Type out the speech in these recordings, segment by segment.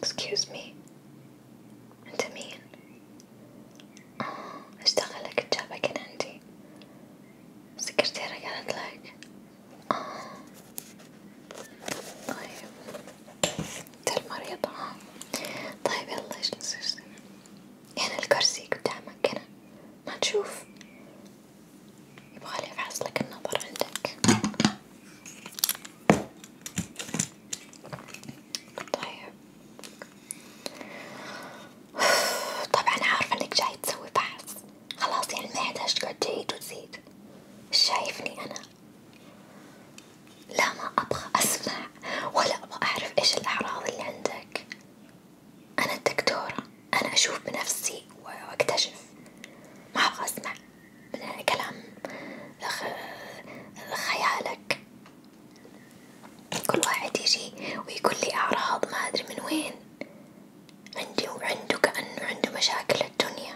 excuse me انت مين؟ اه ايش دخلك تجابك هنا عندي؟ السكرتيرة قالت لك؟ اه طيب انت المريض اه طيب يلا ايش نصير يعني الكرسي قدامك هنا ما تشوف يبغالي افحص لك النظر عندك طيب طبعا عارفة انك جاي تسوي فحص خلاص يعني ما يحتاج تقعد تعيد وتزيد شايفني انا لا ما ابغى اسمع ولا ابغى اعرف ايش الاعراض اللي عندك أنا الدكتورة أنا أشوف بنفسي وأكتشف ما أبغى أسمع من كلام أخ... خيالك كل واحد يجي ويقول لي أعراض ما أدري من وين عندي وعنده كأنه عنده مشاكل الدنيا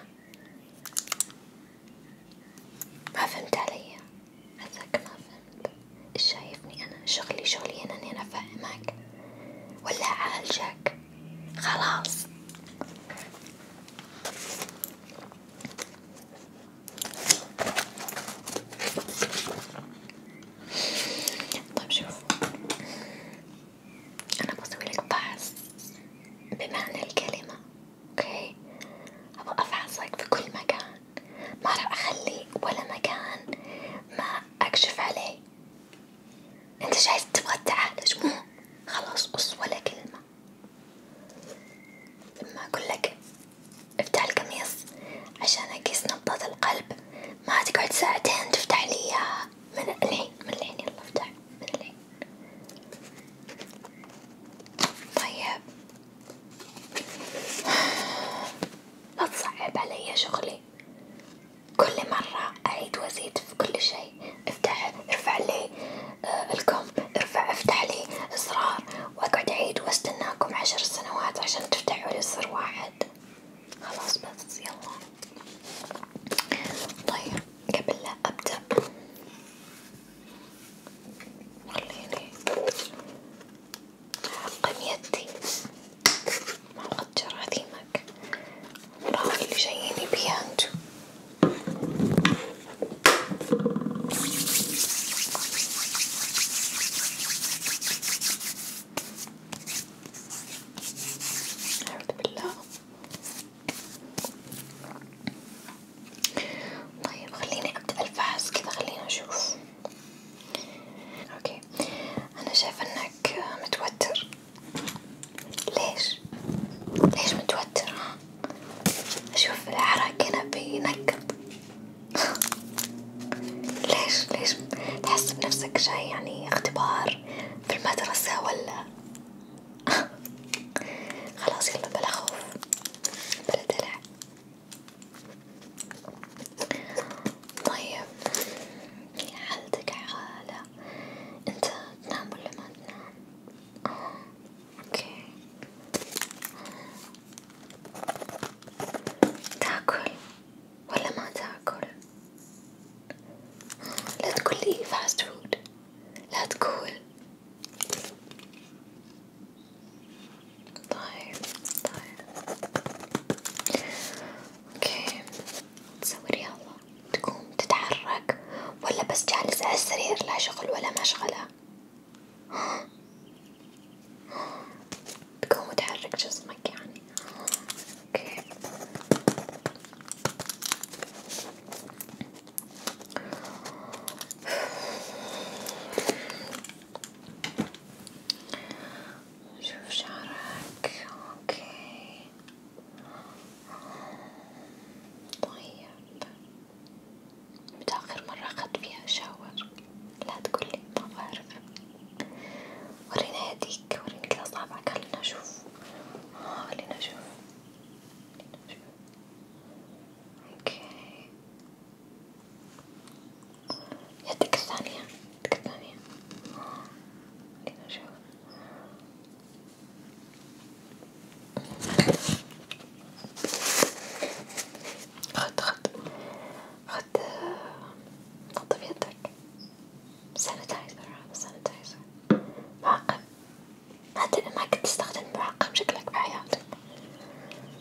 ما فهمت علي هذاك ما فهمت أنت إيش شايفني أنا شغلي شغلي أنا أني أنا أفهمك ولا أعالجك خلاص طيب شوف أنا بسوي لك فحص بمعنى الكلمة أوكي أبغى أفحصك في كل مكان ما راح أخلي ولا مكان ما أكشف عليه، أنت شايف تبغى تعالج مو؟ خلاص قص ولا كلمة، لما أقول لك افتح القميص عشان أقيس نبضات القلب ما تقعد ساعتين تفتح لي إياها من الحين من الحين يلا افتح من الحين. طيب لا تصعب عليا شغلي كل مرة أعيد وأزيد في كل شيء افتح ارفع لي آه الكم ارفع افتح لي اصرار واقعد أعيد واستناكم عشر سنوات عشان تفتحوا لي سر واحد خلاص بس يلا طيب قبل لا أبدأ خليني أعقم يدي ما أقدر أذيمك راهو اللي جاييني بيها انتو أعوذ بالله طيب خليني أبدأ الفحص كذا خليني أشوف اوكي انا شايفة انك متوتر ليش؟ ليش متوتر؟ اشوف العرق هنا بينقط ليش ليش تحس بنفسك جاي يعني اختبار في المدرسة ولا خلاص يلا بلا خوف بلا دلع طيب حالتك حالة انت تنام ولا ما تنام؟ اه اوكي تاكل ولا ما تاكل؟ لا تقول لي فاست فود لا تقول طيب طيب اوكي تسوي رياضة تقوم تتحرك ولا بس جالس على السرير لا شغل ولا مشغلة تقوم وتحرك جسمك يعني اوكي شوف شعرك اوكي طيب متى آخر مرة أخذت فيها شاور؟ لا تقولي ما بعرف ورينا يديك وريني كذا صابعك خلينا نشوف آه خلينا نشوف اوكي يدك الثانية يدك الثانية خلينا نشوف خد خد خد نظف يدك سانيتايزر هذا سانيتايزر معقم ما ما كنت تستخدم معقم شكلك بحياتك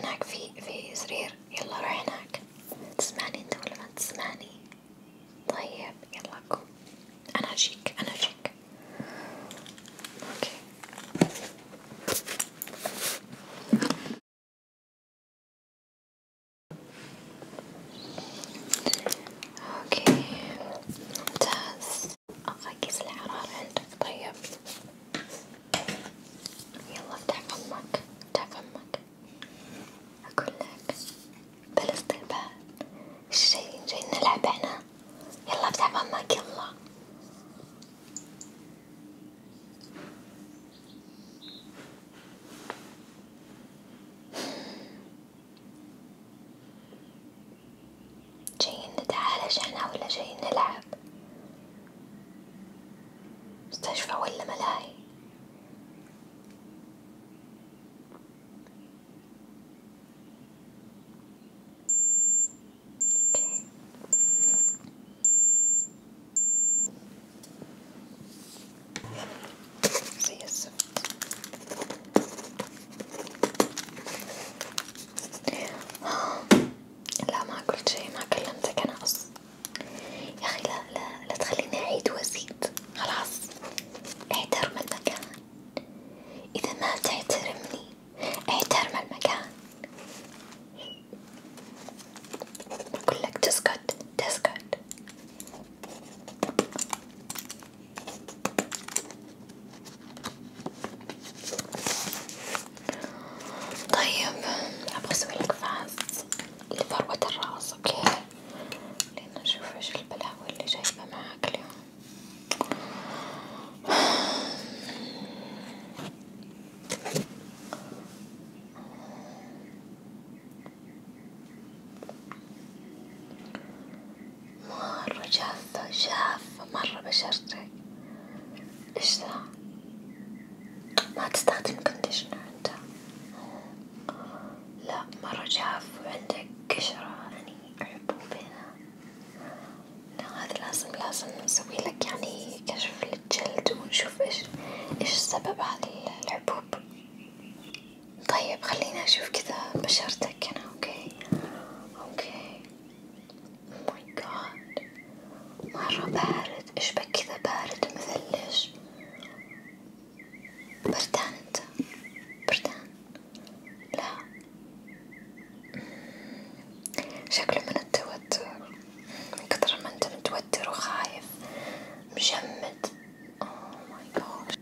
هناك في في سرير يلا روح هناك تسمعني انت ولا ما تسمعني طيب يلا قوم انا اجيك انا اجيك اوكي اوكي ممتاز اقيس الحرارة عندك طيب يلا افتح فمك افتح فمك اقول لك بلا استقبال الشي جاي نلعب احنا يلا افتح فمك يلا جايين نتعالج احنا ولا جايين نلعب مستشفى ولا ملاهي زي الزفت لا ما قلت شي ما كلمتك أنا أصلا يا أخي لا لا لا تخليني أعيد وأزيد خلاص احترم المكان إذا ما تحترمني احترم المكان أقول لك تسكت تسكت طيب ابغى اسوي لك فاز لفروة الراس اوكي لين اشوف ايش البلاوي اللي جايبة معاك اليوم مرة جافة جافة مرة بشرتك ايش ذا ما تستخدم كونديشنر انت لا مرة جاف وعندك قشرة يعني حبوب هنا لا هذا لازم لازم نسوي لك يعني كشف للجلد ونشوف ايش ايش السبب هذا الحبوب طيب خلينا اشوف كذا بشرتك هنا اوكي اوكي ماي oh جاد مرة بارد ايش بك كذا بارد ومثلج بردان انت بردان لا شكله من التوتر من كثر ما انت متوتر وخايف مجمد اوه ماي جاد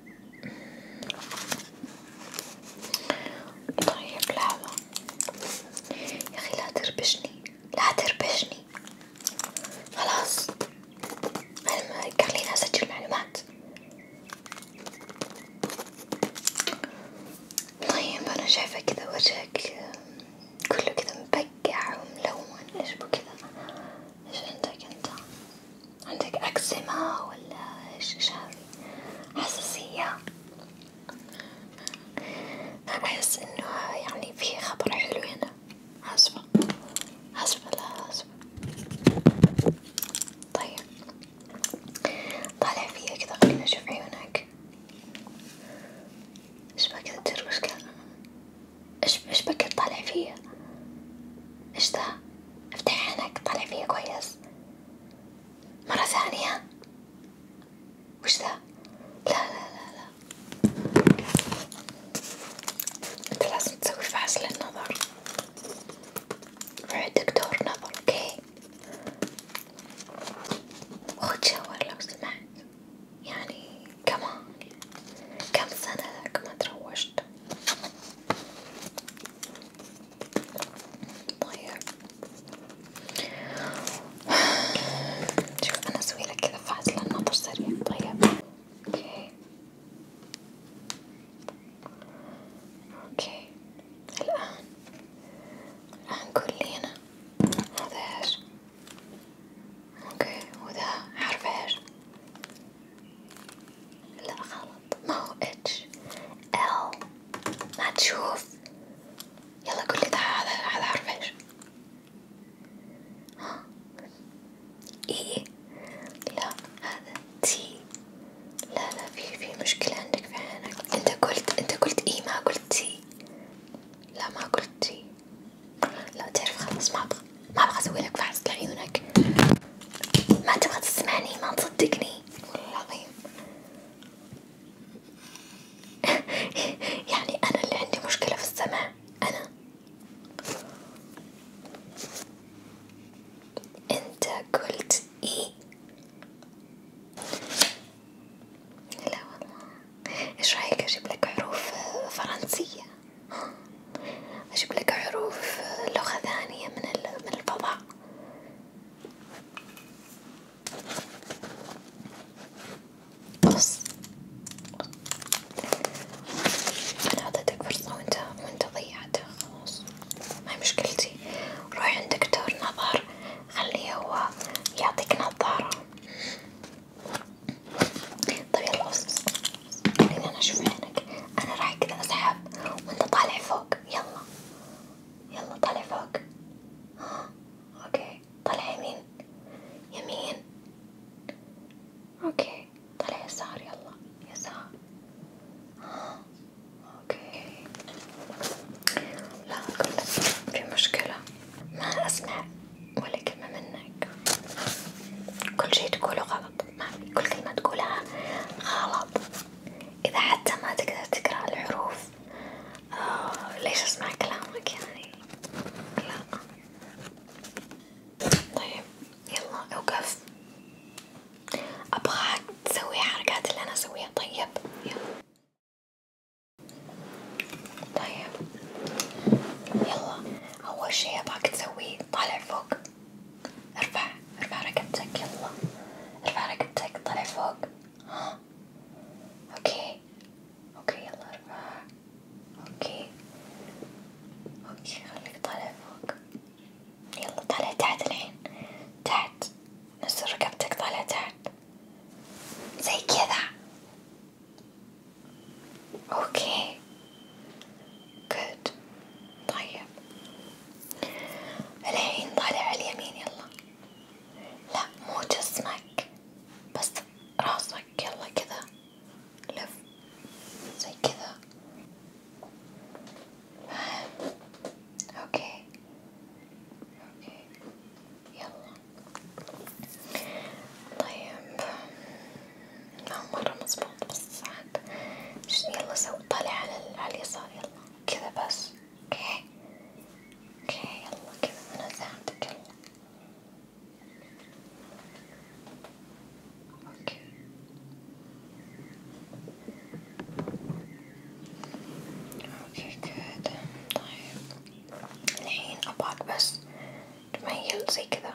طيب لحظة يا أخي لا تربشني لا تربشني خلاص أنا خليني أسجل معلومات طيب أنا شايفة كذا وجهك كله كذا مبقع وملون إيش بو إيش عندك أنت؟ عندك أكزيما ولا إيش إيش هذا؟ حساسية أنا أحس إنه يعني في خبر حلو هنا أسفة أسفة لا أسفة طيب طالع فيا كذا خلينا نشوف عيونك إيش بك تدروش كذا إيش إيش بك تطالع فيا إيش ذا افتح عينك طالع فيا كويس مرة ثانية وش ذا؟ لا لا لا لا انت لازم تسوي فحص للنظر روح دكتور نظر اوكي وخذ شاور لو سمحت يعني كمان كم سنة لك ما تروشت طيب شوف أنا أسويلك كذا فاصلة نظر سريع طيب اوكي اوكي الآن الآن قول لي أنا هذا ايش؟ اوكي وذا حرف ايش؟ لا غلط ما اتش ال ما تشوف يلا قولي ده هذا حرف ايش ها اي لا هذا تي لا لا في في مشكلة عندك في عينك انت قلت انت قلت اي ما قلت تي لا ما قلت تي لا تعرف خلاص ما ابغى ما فحص لعيونك ما تبغى تسمعني ما تصدقني والله يعني أنا اللي عندي مشكلة في السمع أنا أنت قلت إي لا والله إيش رأيك أجيب لك حروف فرنسية؟ أجيب لك حروف لغة ثانية من الفضاء بص أنا أعطيتك فرصة وأنت وأنت ضيعتها خلاص ما مشكلتي روح عند دكتور نظر خليه هو يعطيك نظارة طيب يلا بص خليني أنا أشوف عينك أنا راح كذا أسحب وأنت طالع فوق يلا يلا طلع فوق ها اوكي طلع يمين يمين اوكي طلع يسار يلا يسار ها اوكي لا اقول لك في مشكلة ما اسمع ولا كلمة منك كل شي تقوله غلط ما في كل كلمة تقولها غلط إذا حتى ما تقدر تقرأ الحروف آه ليش أسمع كلامك يعني لا طيب يلا أوقف أبغاك تسوي حركات اللي أنا أسويها طيب يلا طيب يلا أول شي أبغاك تسوي طالع فوق ارفع ارفع رقبتك يلا ارفع رقبتك طلع فوق ها اوكي اوكي يلا ارفع اوكي اوكي خليك طالع فوق يلا طالع تحت الحين تحت نزل رقبتك طالع تحت زي كذا اوكي good طيب الحين طالع اليمين يلا لا مو جسمك بس راسك يلا كذا لف زي كذا فاهم اوكي اوكي يلا طيب ما مرة مظبوط بس واحد طيب. يلا سو طالع على, على اليسار يلا كذا بس اوكي اوكي يلا كذا انا ساعدك يلا اوكي اوكي كذا طيب الحين ابغاك بس تميل زي كذا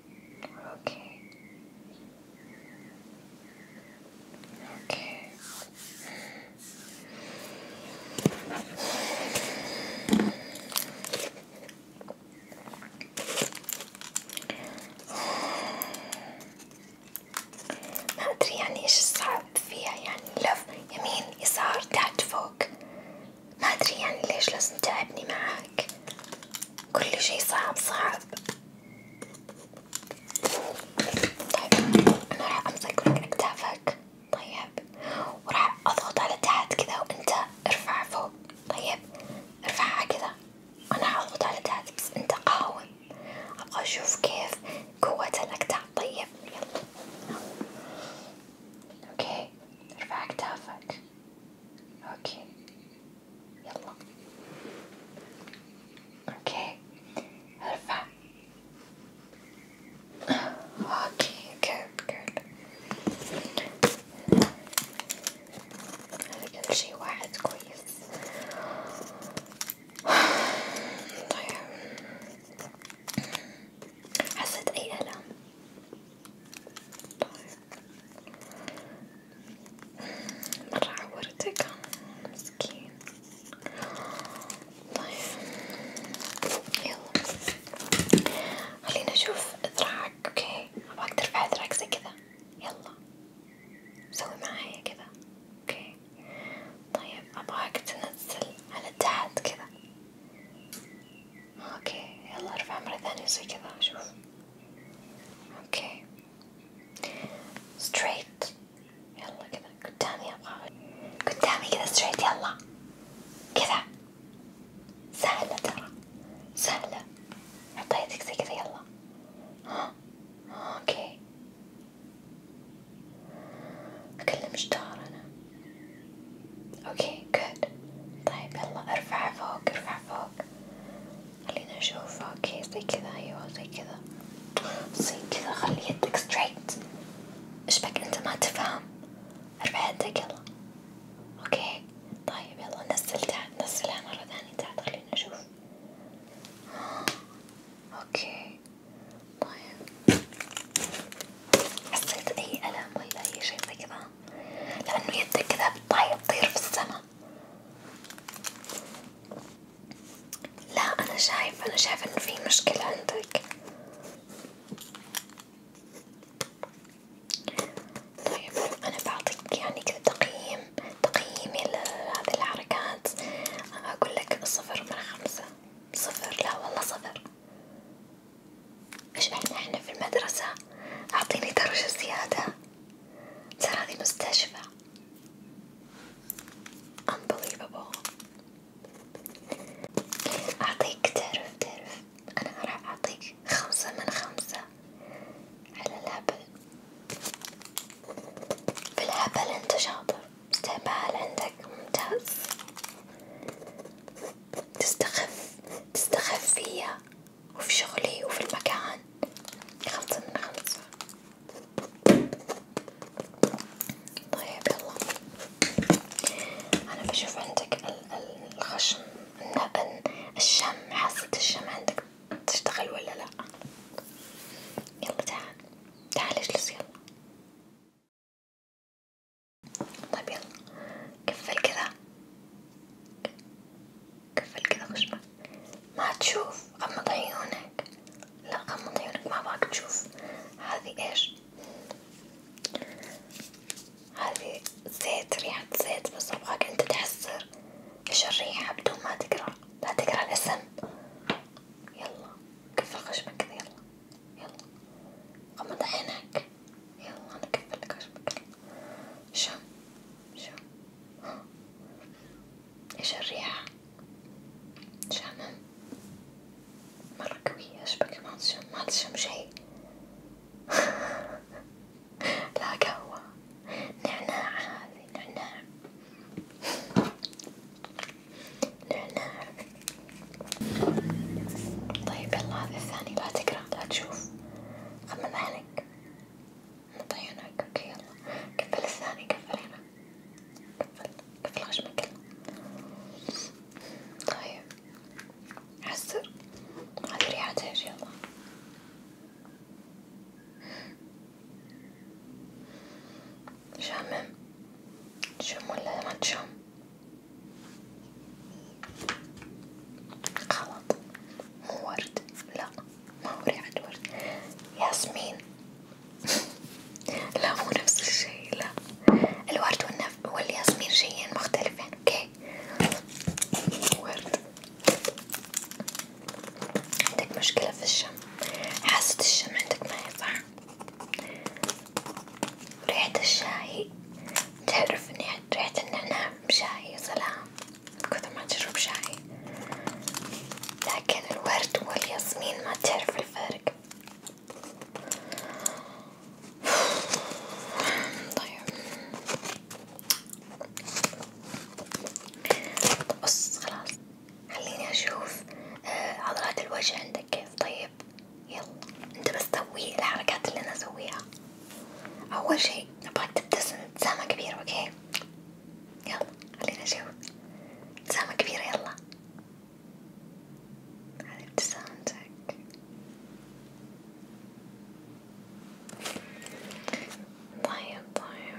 Okay. Okay. ما أدري يعني إيش الصعب فيها يعني لف يمين يسار تحت فوق ما أدري يعني ليش لازم تعبني معاك كل شي صعب صعب طيب أنا راح أمسك لك أكتافك طيب وراح أضغط على تحت كذا وأنت ارفع فوق طيب ارفعها كذا أنا هضغط على تحت بس أنت قاوم أبغى أشوف كيف قوة الأكتاف طيب يلا أوكي ارفع أكتافك أوكي يلا اوكي ارفع اوكي جود جود هذا كل شي واحد كويس طيب حسيت اي الم طيب مرة عورتك مسكين طيب يلا خلينا نشوف ذراعك اوكي ابغاك ترفع ذراعك زي كذا يلا سوي معايا كذا اوكي طيب ابغاك تنزل على تحت كذا اوكي يلا ارفع مرة ثانية زي كذا شوف اوكي ستريت يلا كذا قدامي ابغى قدامي كذا ستريت يلا كذا سهلة ترى سهلة عطيتك زي كذا يلا ها اوكي اكلم جدار انا اوكي جود طيب يلا ارفع فوق ارفع فوق خلينا نشوف اوكي زي كذا ايوه زي كذا زي كذا خلي يدك ستريت ايش انت ما تفهم ارفع يدك يلا اوكي طيب يلا نزل تحت نزلها مرة ثانية تحت خلينا نشوف اوكي طيب حسيت اي الم ولا اي شيء زي كذا لانه يدك كذا بتطير في السما لا أنا شايف أنا شايف إنه في مشكلة عندك طيب أنا بعطيك يعني كذا تقييم تقييمي لهذه الحركات أقول صفر من خمسة صفر لا والله صفر إيش إحنا إحنا في المدرسة أعطيني درجة زيادة تراني مستشفى unbelievable أعطيك تعرف تعرف أنا راح أعطيك خمسة من خمسة على الهبل في الهبل أنت شاطر استقبال عندك ممتاز تستخف تستخف فيا وفي شغلي وفي المكان خمسة من خمسة طيب يلا أنا بشوف عندك ال الخشم النقن الشم حاسة الشم عندك تشتغل ولا لأ يلا تعال تعال اجلس يلا طيب يلا كفل كذا كفل كذا خشمة ما تشوف غمض عيونك لا غمض عيونك ما باك تشوف هذه ايش هذه زيت ريحة زيت بس ابغاك انت تحسر ايش الريحة بدون ما تقرا لا تقرا الاسم يلا كفل خشمك كذا يلا يلا غمض عينك يلا انا كفلت خشمك شم شم ايش الريحة شامم مرة قوية اشبك ما تشم ما تشم شي لا قهوة نعناع هذي نعناع نعناع طيب يلا هذا الثاني لا تقرأ لا تشوف خمم حالك مطينك اوكي يلا قفل الثاني قفل هنا قفل قفل خشمك طيب عسر هذي ريحتها ايش يلا شامم تشم ولا ما تشم؟ غلط مو ورد لا ما هو ريحة ورد ياسمين لا مو نفس الشي لا الورد والنف والياسمين شيئين مختلفين اوكي ورد عندك مشكلة في الشم حاسة الشم عندك ما هي صح ريحة الشاي تعرف ريحة النعناع بشاي يا سلام كثر ما تشرب شاي لكن الورد والياسمين ما تعرف الفرق طيب بص خلاص خليني اشوف آه، عضلات الوجه عندك كيف طيب يلا انت بس سوي الحركات اللي انا اسويها أول شي أبغاك تبتسم ابتسامة كبيرة أوكي يلا خلينا نشوف ابتسامة كبيرة يلا هذي ابتسامتك طيب طيب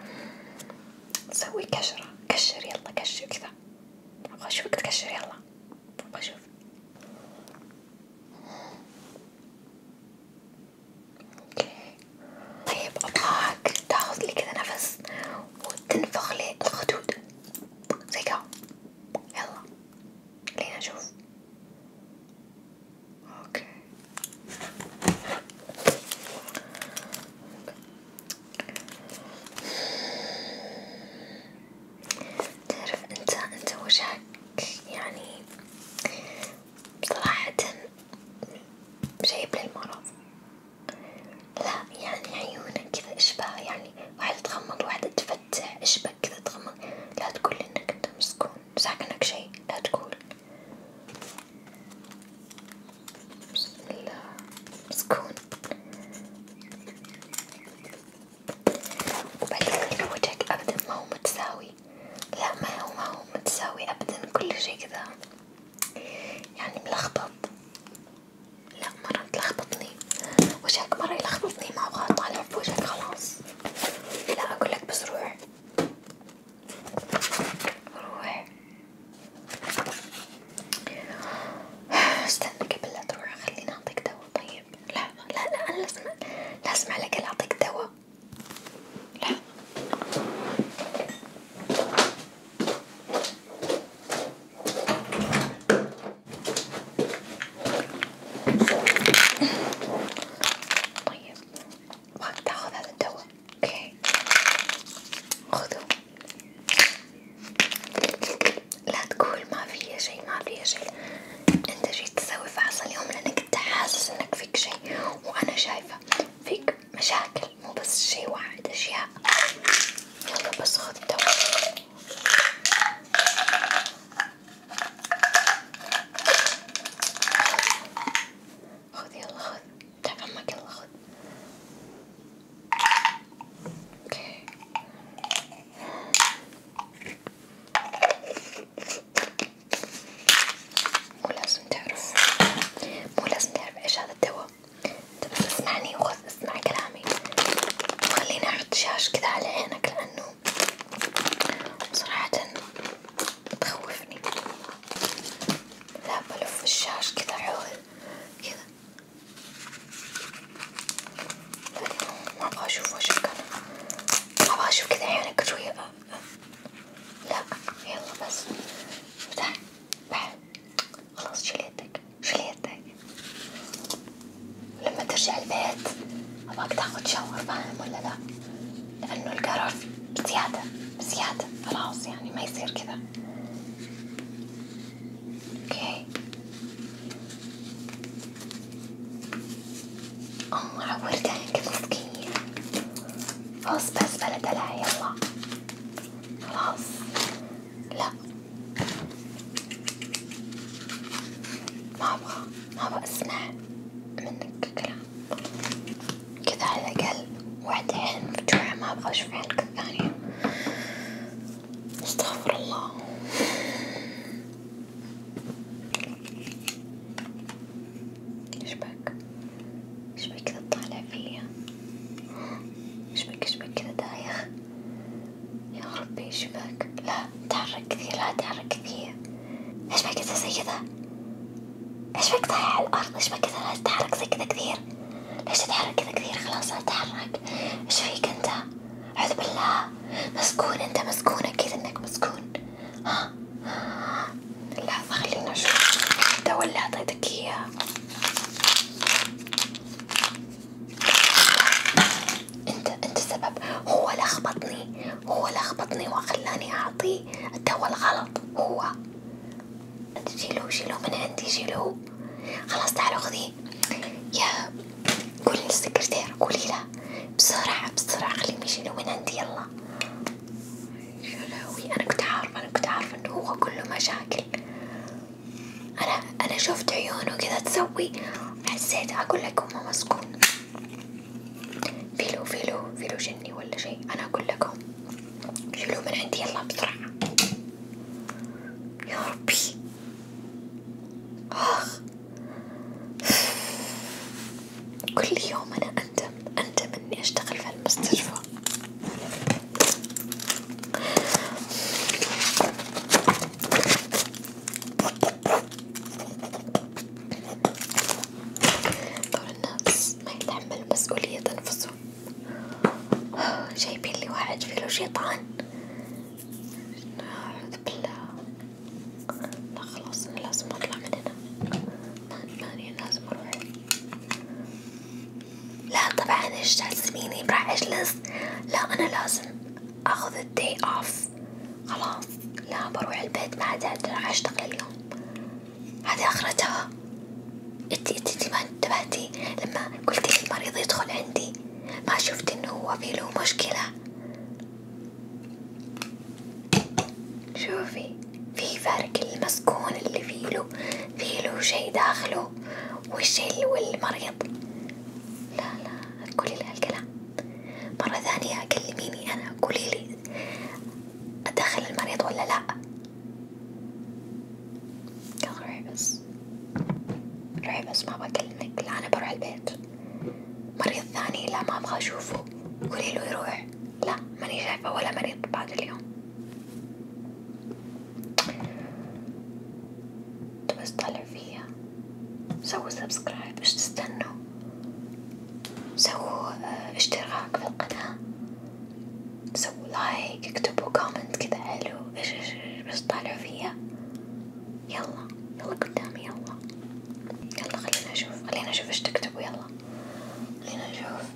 سوي كشرة كشر يلا كشر كذا أبغى أشوفك تكشر يلا بشوف اوكي طيب ابغاك تاخذ لي كذا نفس وتنفخ لي الخدود زي كذا يلا خلينا نشوف اوكي تعرف انت انت وجهك يعني صراحة جايب للمرض لا يعني عيونك كذا اشبه يعني واحدة تغمض واحدة تفتح اشبك كذا تغمض لا تقول انك انت مسكون ساكنك شي لا تقول بسم الله مسكون وبالك وجهك أبدا ما هو متساوي لا ما هو ما هو متساوي أبدا كل شي كذا يعني ملخبط لا مرة تلخبطني وجهك مرة يلخبطني ما أبغى أطالع في وجهك خلاص لا أقولك بس روح روح استنى قبل لا تروح خليني أعطيك دوا طيب طيب لحظة لا لا أنا لازم لازم على الأقل أعطيك دواء لحظة طيب باغي تاخذ هذا الدواء اوكي خذوه لا تقول ما فيا شي ما فيا شي انت جيت تسوي فحص اليوم لانك انت حاسس انك فيك شي وانا شايفة فيك مشاكل مو بس شي واحد اشياء يلا بس خذ دواء خذ يلا خذ تعب عمك يلا خذ اوكي مو لازم تعرف مو لازم تعرف ايش هذا الدواء انت بس اسمعني وخذ اسمع كلامي وخليني احط شاش كذا على عينك لانه صراحة تخوفني لا بلف الشاش كذا حول كذا ما ابغى اشوف وجهك انا ابغى اشوف كذا عيونك شوية أه، أه. لا يلا بس افتح بعد خلاص شيل يدك شيل يدك لما ترجع البيت ابغاك تاخذ شاور فاهم ولا لا؟ لانه القرار بزيادة بزيادة خلاص يعني ما يصير كذا Okay. أم عورتها كيف صغير بس بس بلا دلع يلا خلاص لا ما أبغى ما أبغى أسمع منك كلام كذا على الأقل وحدة عين مفتوحة ما أبغى أشوف عينك الثانية استغفر الله ايش بك؟ ايش بك كذا تطالع فيا؟ ايش بك ايش بك كذا دايخ؟ يا ربي ايش بك؟ لا تحرك كثير لا تحرك كثير ايش بك كذا زي كذا؟ ايش بك طايح على الارض؟ ايش بك كذا لا تتحرك زي كذا كثير؟ ليش تتحرك كذا كثير؟ خلاص لا تتحرك ايش فيك انت؟ أعوذ بالله مسكون أنت مسكون أكيد إنك مسكون ها لحظة خلينا نشوف الدواء اللي عطيتك إياه أنت أنت السبب هو لخبطني هو لخبطني وخلاني أعطيه الدواء الغلط هو أنت شيلوه شيلوه من عندي شيلوه خلاص تعالوا خذيه لي يا قولي للسكرتيرة قولي لها بسرعة بسرعة خليهم يجينا من عندي يلا شلوي أنا كنت عارفة أنا كنت عارفة إنه هو كله مشاكل أنا أنا شفت عيونه كذا تسوي حسيت أقول لكم هو مسكون فيلو فيلو فيلو جني ولا شي أنا أقول لكم شيلوه من عندي يلا بسرعة يا ربي آخ كل يوم أنا أندم أندم إني أشتغل في المستشفى كل الناس ما يتحمل مسؤولية أنفسهم جايبين لي واحد فيه شيطان أعوذ بالله لا خلاص أنا لازم أطلع من هنا ماني أنا لازم أروح لا طبعا إيش جاسميني راح أجلس لا أنا لازم أخذ الداي أوف خلاص لا بروح البيت ما عاد راح أشتغل اليوم هذه آخرتها انتي انتي ما انتبهتي لما قلتي المريض يدخل عندي ما شفت انه هو في له مشكلة شوفي في فرق المسكون اللي في له في له شي داخله والشي والمريض لا لا تقولي لي هالكلام مرة ثانية كلميني أنا قولي لي أدخل المريض ولا لا؟ بس روحي بس ما بكلمك لا أنا بروح البيت مريض ثاني لا ما أبغى أشوفه قولي له يروح لا ماني شايفة ولا مريض بعد اليوم بس طالع فيا سووا سبسكرايب ايش تستنوا سووا آه، اشتراك في القناة سووا لايك هيك يعني اكتبوا كومنت كذا حلو ايش ايش بس طالعوا فيها يلا يلا قدامي يلا يلا خلينا نشوف خلينا نشوف ايش تكتبوا يلا خلينا نشوف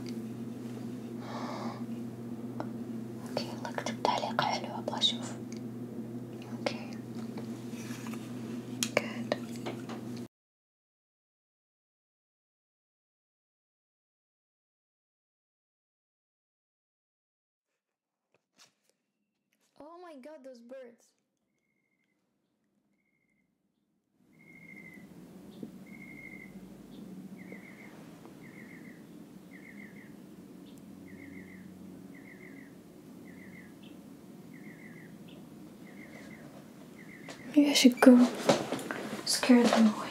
اوكي يلا اكتب تعليق حلو ابغى اشوف اوكي جود Oh my god, those birds. Maybe I should go scare them away.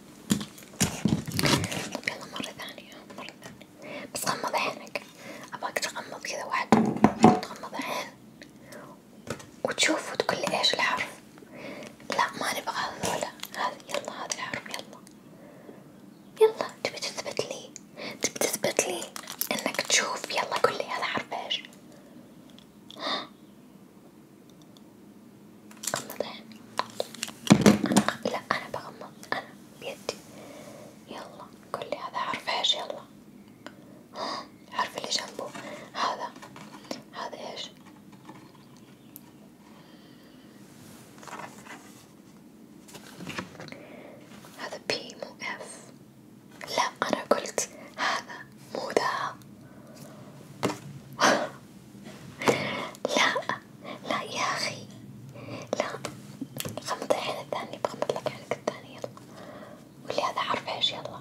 يلا مرة ثانية مرة ثانية بس غمض عينك أباك تغمض كذا واحد تغمض عين وتشوف وتقول لي إيش الحرف لا ما نبغى هذولا هذي يلا هذا الحرف يلا يلا تبي تثبت لي تبي تثبت لي إنك تشوف يلا قول لي هذا حرف إيش غمض عينك أنا غ... لا أنا بغمض أنا بيدي يلا قولي هذا حرف ايش يلا الحرف اللي جنبه هذا هذا ايش هذا بي مو اف لا انا قلت هذا مو ذا لا لا يا لا غمض الحين الثاني بغمض لك الثاني يلا واللي هذا حرف ايش يلا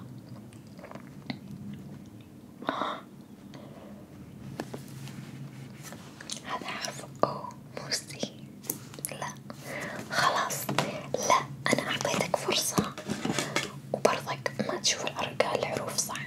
هذا حرف أو موسي لا خلاص لا أنا أعطيتك فرصة وبرضك ما تشوف الأرقام الحروف صح